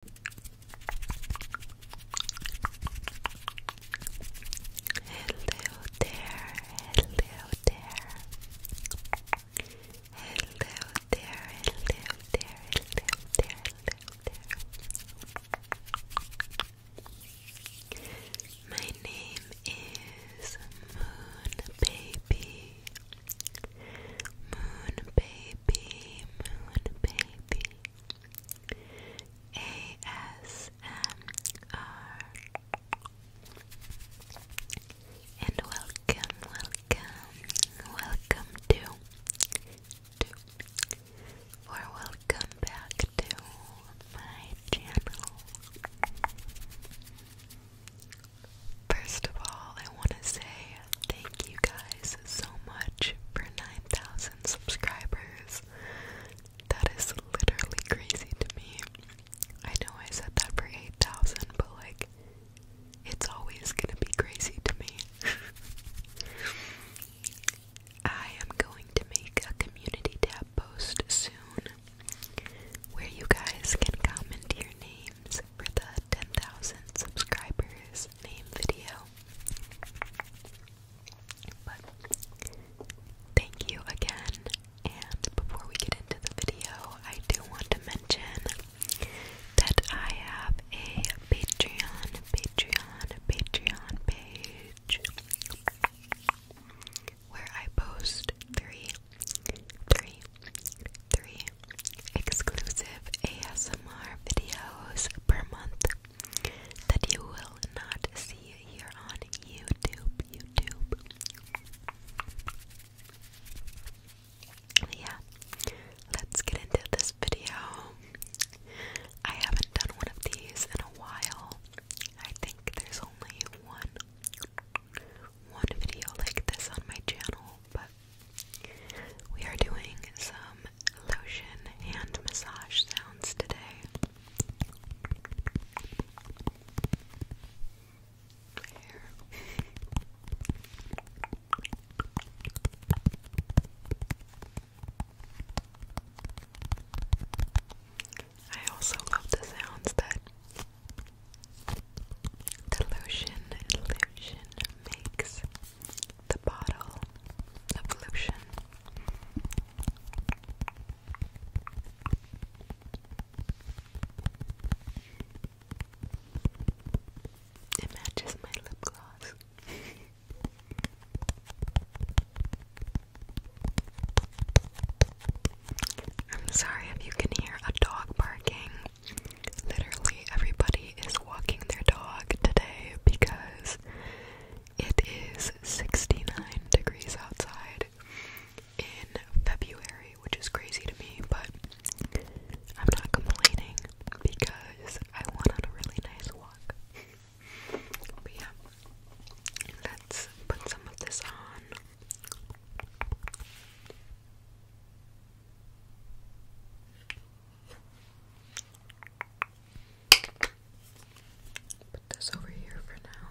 Hello there, hello there. Hello there, hello there, hello there, hello there. My name is Moon Baby. Moon Baby, Moon Baby. B A S M R and welcome, welcome, welcome to, to or welcome back to my channel. First of all, I want to say Thank you guys so much for 9,000 subscribers. That is literally crazy to me. I know I said that for 8,000, but like, it's always gonna be crazy to me. I am going to make a community tab post soon where you guys can comment your name for the 10,000 subscribers name video. But thank you again. And before we get into the video, I do want to mention that I have a Patreon, Patreon, Patreon page where I post three, three, three exclusive ASMR videos per month that you will not see here on YouTube. YouTube. Yeah, let's get into this video. I haven't done one of these in a while. I think there's only one one video like this on my channel, but we are doing some lotion and massage sounds today. I also love the sounds that Delusion, delusion makes the bottle of lotion. my lip gloss. I'm sorry if you can hear a dog barking. Literally everybody is walking their dog today because it is 69 degrees outside in February, which is crazy to me, but I'm not complaining because I went on a really nice walk. but yeah, let's put some of this on. Put this over here for now.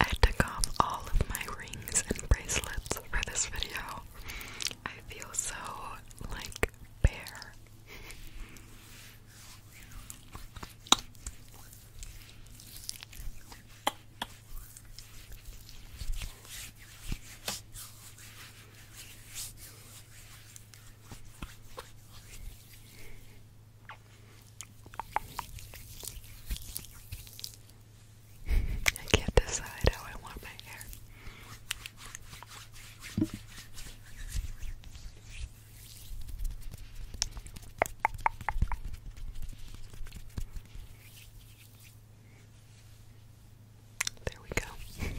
I took off all of my rings and bracelets for this video. I feel so like bare. I can't decide how I want my hair. There we go.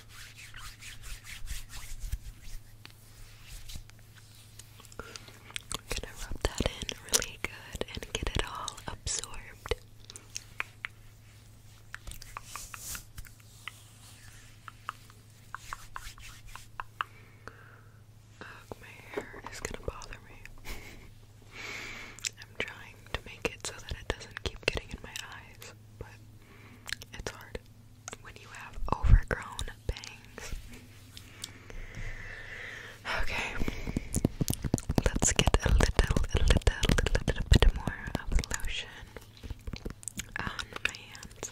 I'm gonna rub that in really good and get it all absorbed. Ugh, my hair is gonna bother me. I'm trying to make it so that it doesn't keep getting in my eyes, but it's hard when you have overgrown bangs. Okay, let's get a little, a little, a little bit more of lotion on my hands.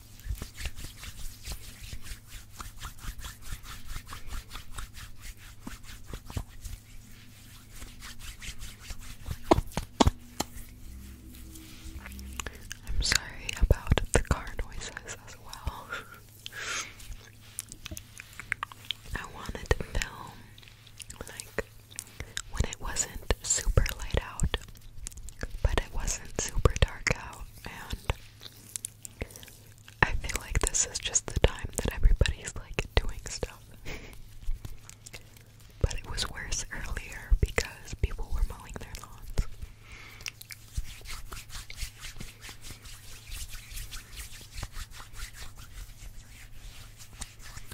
I'm sorry about the car noises as well. I wanted to film like when it wasn't super light out, but it wasn't super dark out, and I feel like this is just the time that everybody's like doing stuff. but it was worse earlier because people were mowing their lawns.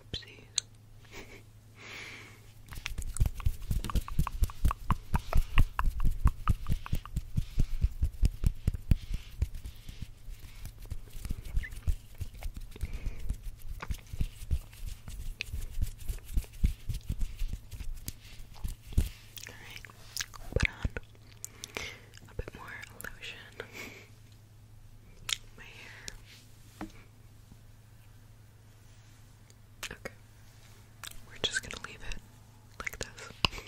Oopsies. All right put on a bit more lotion. My hair. Okay. We're just gonna leave it like this.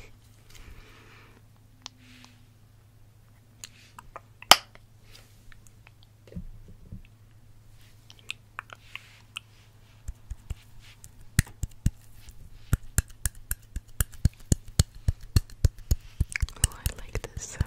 Oh, I like this sound.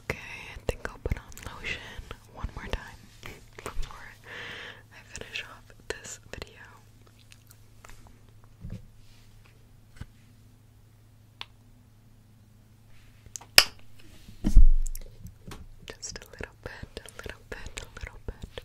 Okay, I think I'll put on lotion one more time before I finish off this video. Just a little bit, a little bit, a little bit.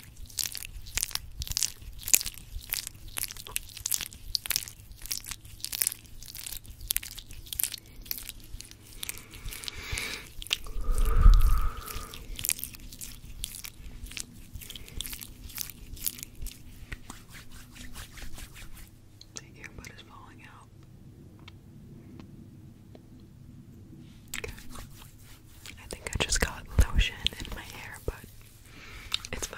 The earbud is falling out. I think I just got lotion in my hair, but it's fine.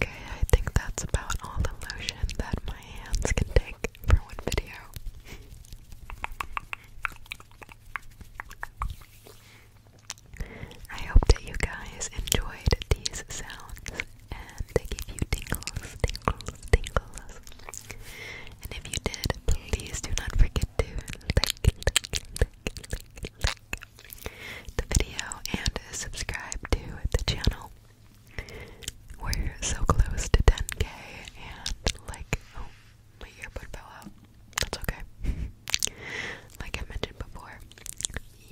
Okay, I think that's about all the lotion that my hands can take for one video. I hope that you guys enjoyed these sounds and they give you tingles, tingles, tingles. And if you did, please do not forget to like, like, the video and subscribe to the channel. We're so close to 10k and like, oh, my earbud fell out. That's okay. like I mentioned before,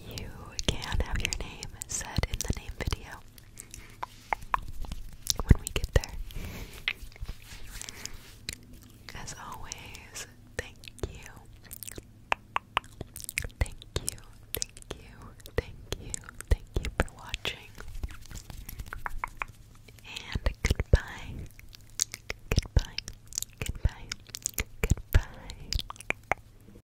you can have your name said in the name video when we get there. As always, thank you. Thank you, thank you, thank you, thank you for watching. And goodbye. Goodbye. Goodbye. Goodbye.